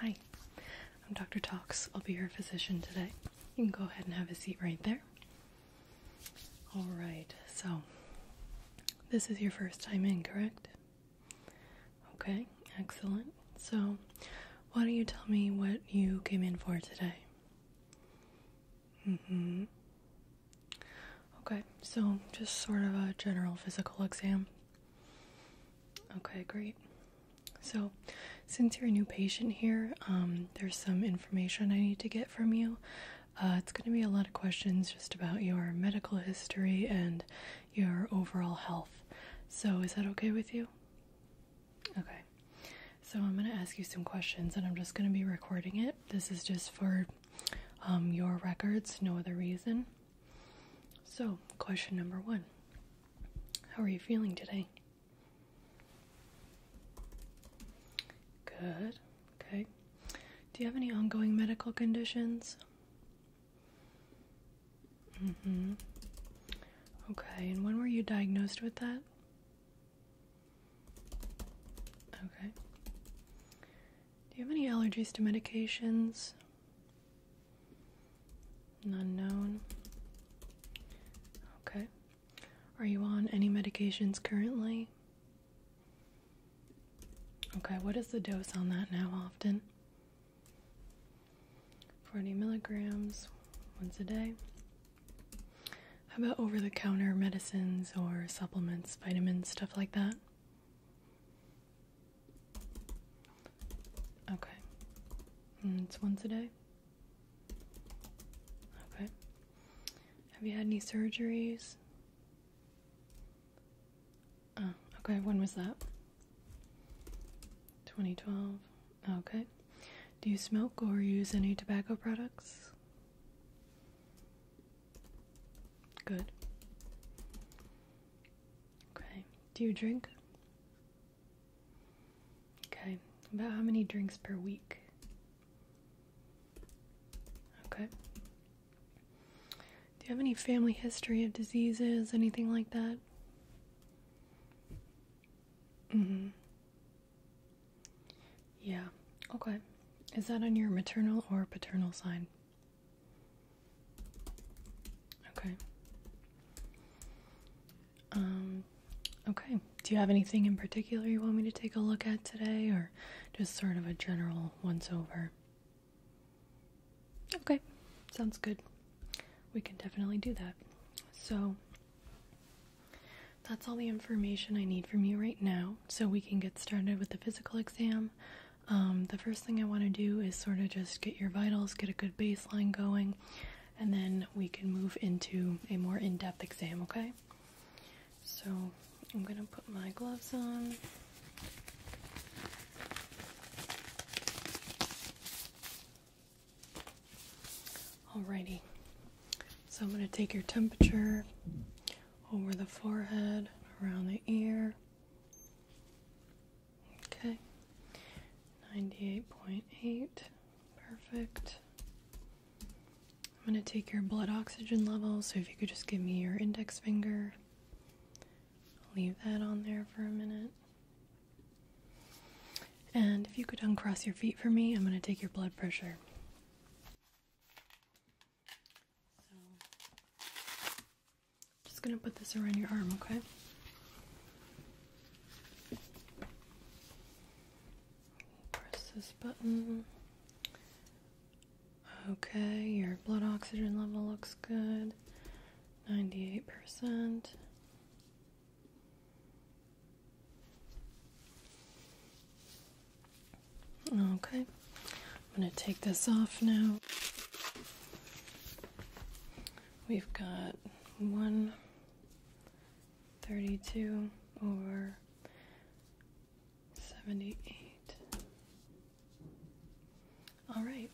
Hi, I'm Dr. Tox. I'll be your physician today. You can go ahead and have a seat right there. All right, so this is your first time in, correct? Okay, excellent. So, why don't you tell me what you came in for today? Mm hmm. Okay, so just sort of a general physical exam. Okay, great. So, since you're a new patient here, um, there's some information I need to get from you. Uh, it's going to be a lot of questions just about your medical history and your overall health. So, is that okay with you? Okay. So, I'm going to ask you some questions and I'm just going to be recording it. This is just for um, your records, no other reason. So, question number one How are you feeling today? Good. Okay. Do you have any ongoing medical conditions? Mm hmm. Okay, and when were you diagnosed with that? Okay. Do you have any allergies to medications? Unknown. Okay. Are you on any medications currently? Okay, what is the dose on that now often? 40 milligrams once a day. How about over the counter medicines or supplements, vitamins, stuff like that? Okay. Mm, it's once a day? Okay. Have you had any surgeries? Oh, okay. When was that? 2012. Okay. Do you smoke or use any tobacco products? Good. Okay. Do you drink? Okay. About how many drinks per week? Okay. Do you have any family history of diseases, anything like that? Mm-hmm. Yeah. Okay. Is that on your maternal or paternal side? Okay. Um, okay. Do you have anything in particular you want me to take a look at today, or just sort of a general once over? Okay, sounds good. We can definitely do that. So, that's all the information I need from you right now, so we can get started with the physical exam. Um, the first thing I want to do is sort of just get your vitals, get a good baseline going, and then we can move into a more in depth exam, okay? So I'm going to put my gloves on. Alrighty, so I'm going to take your temperature over the forehead, around the ear, Okay. 98.8. Perfect. I'm going to take your blood oxygen level, so if you could just give me your index finger. I'll leave that on there for a minute. And if you could uncross your feet for me, I'm going to take your blood pressure. So, just gonna put this around your arm, okay? Press this button. Okay, your blood oxygen level looks good. 98%. Okay. I'm going to take this off now. We've got 132 over 78. All right,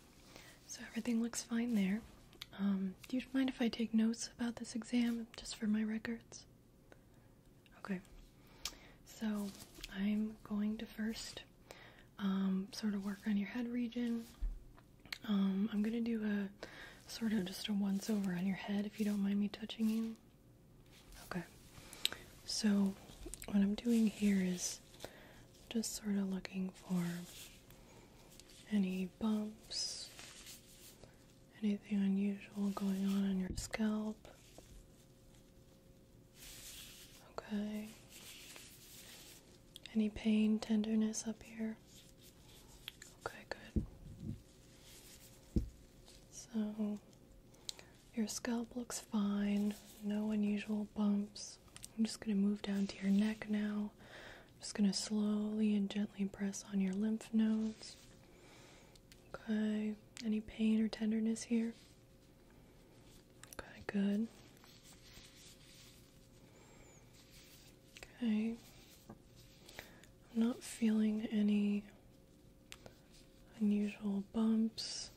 so everything looks fine there. Um, do you mind if I take notes about this exam just for my records? Okay, so I'm going to first um, sort of work on your head region. Um, I'm gonna do a sort of just a once over on your head if you don't mind me touching you. Okay, so what I'm doing here is just sort of looking for any bumps, anything unusual going on on your scalp. Okay. Any pain, tenderness up here? Okay, good. So, your scalp looks fine, no unusual bumps. I'm just going to move down to your neck now. I'm just going to slowly and gently press on your lymph nodes. Okay, any pain or tenderness here? Okay, good. Okay. I'm not feeling any unusual bumps.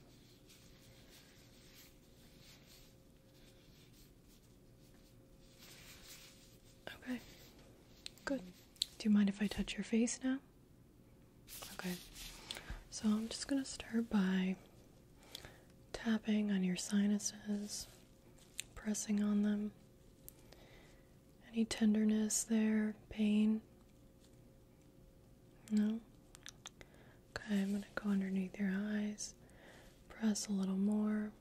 Okay, good. Do you mind if I touch your face now? Okay, so I'm just going to start by tapping on your sinuses, pressing on them. Any tenderness there, pain? No? Okay, I'm going to go underneath your eyes, press a little more.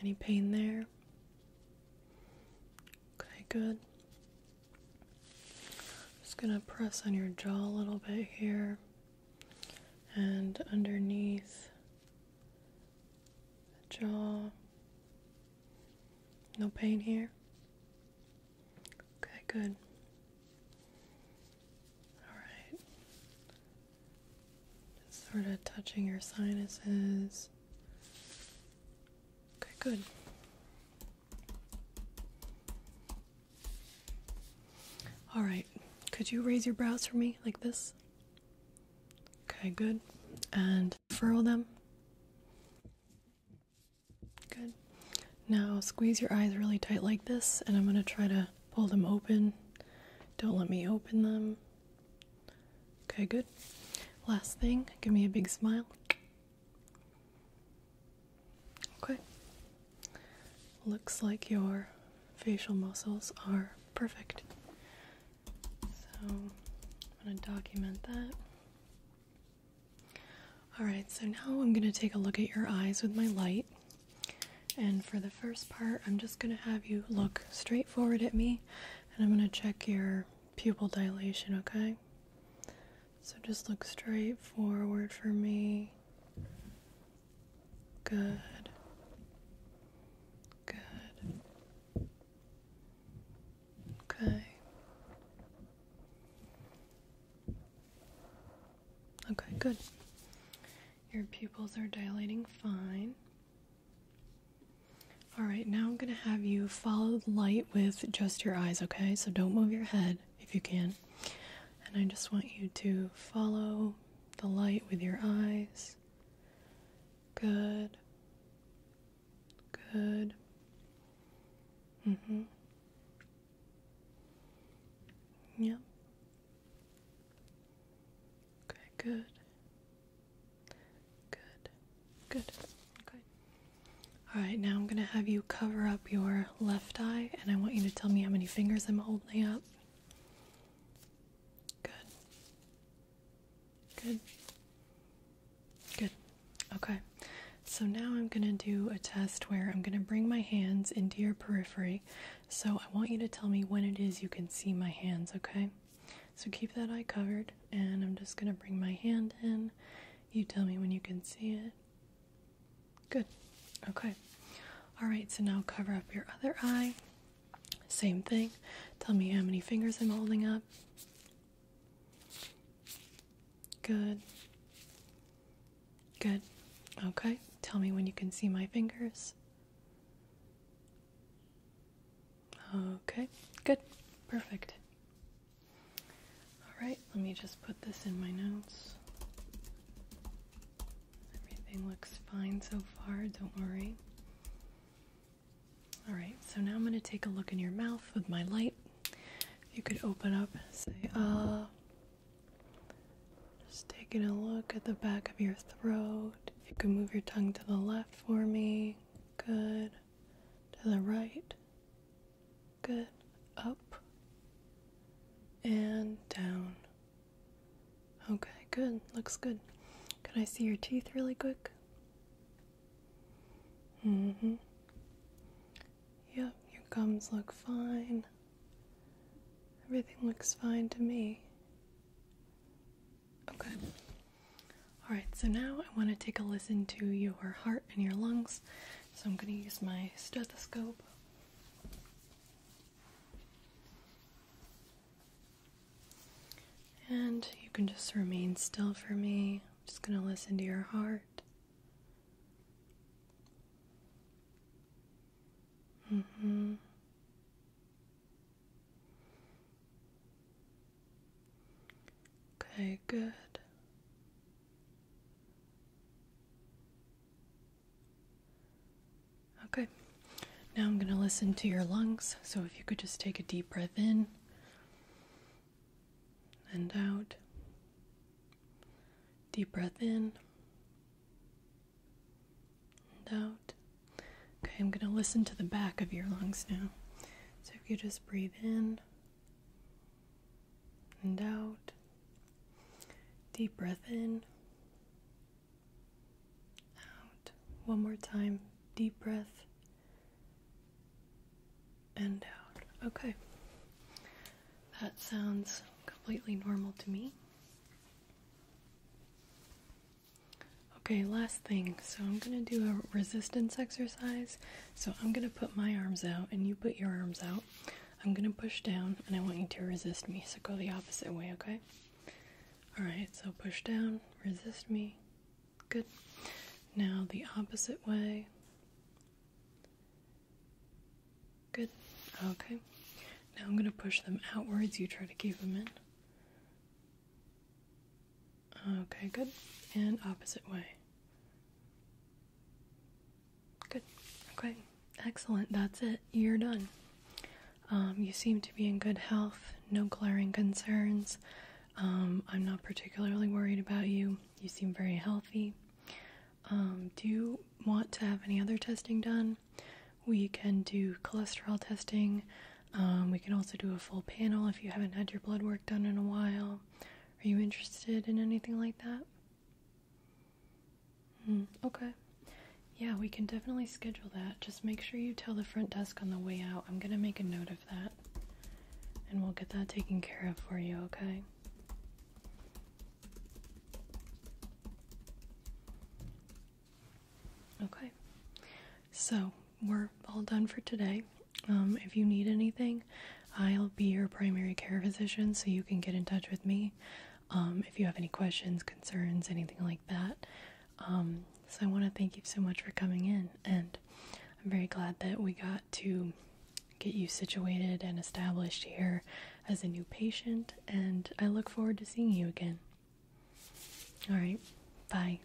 Any pain there? Okay, good. Just gonna press on your jaw a little bit here and underneath the jaw. No pain here? Okay, good. Alright. Just sort of touching your sinuses. Okay, good. All right, could you raise your brows for me like this? Okay, good. And furrow them. Good. Now squeeze your eyes really tight like this, and I'm going to try to pull them open. Don't let me open them. Okay, good. Last thing, give me a big smile. Okay. Looks like your facial muscles are perfect. So I'm going to document that. Alright, so now I'm going to take a look at your eyes with my light. And for the first part, I'm just going to have you look straight forward at me and I'm going to check your pupil dilation, okay? So just look straight forward for me. Good. Good. Okay. Okay, good. Your pupils are dilating fine. All right, now I'm going to have you follow the light with just your eyes, okay? So don't move your head if you can. And I just want you to follow the light with your eyes. Good. Good. Mm hmm. Yep. Okay, good. Good. Good. Okay. All right, now I'm going to have you cover up your left eye and I want you to tell me how many fingers I'm holding up. Good. Good. Good. Okay. So now I'm going to do a test where I'm going to bring my hands into your periphery. So I want you to tell me when it is you can see my hands, okay? So keep that eye covered and I'm just going to bring my hand in you tell me when you can see it. Good. Okay. All right, so now cover up your other eye. Same thing. Tell me how many fingers I'm holding up. Good. Good. Okay. Tell me when you can see my fingers. Okay. Good. Perfect. All right, let me just put this in my notes. Everything looks fine so far, don't worry. All right, so now I'm going to take a look in your mouth with my light. you could open up, say, uh, just taking a look at the back of your throat. If you could move your tongue to the left for me, good. To the right, Good. Up and down. Okay, good. Looks good. Can I see your teeth really quick? Mm hmm. Yep, your gums look fine. Everything looks fine to me. Okay. Alright, so now I want to take a listen to your heart and your lungs. So I'm going to use my stethoscope. And you can just remain still for me. I'm just going to listen to your heart. Mm-hmm. Okay, good. Okay, now I'm going to listen to your lungs. So if you could just take a deep breath in and out, deep breath in and out. Okay, I'm going to listen to the back of your lungs now. So if you just breathe in and out. Deep breath in, out. One more time. Deep breath and out. Okay. That sounds completely normal to me. Okay, last thing. So I'm going to do a resistance exercise. So I'm going to put my arms out and you put your arms out. I'm going to push down and I want you to resist me. So go the opposite way, okay? All right, so push down, resist me. Good. Now the opposite way. Good. Okay. Now I'm going to push them outwards. You try to keep them in. Okay, good. And opposite way. Good. Okay, excellent. That's it. You're done. Um, you seem to be in good health, no glaring concerns. Um, I'm not particularly worried about you. You seem very healthy. Um, do you want to have any other testing done? We can do cholesterol testing. we can also do a full panel if you haven't had your blood work done in a while. Are you interested in anything like that? Mm, okay. Yeah, we can definitely schedule that. Just make sure you tell the front desk on the way out. I'm going to make a note of that. And we'll get that taken care of for you, okay? Okay. So, we're all done for today. Um, if you need anything, I'll be your primary care physician, so you can get in touch with me um, if you have any questions, concerns, anything like that. Um, so I want to thank you so much for coming in, and I'm very glad that we got to get you situated and established here as a new patient, and I look forward to seeing you again. All right, bye.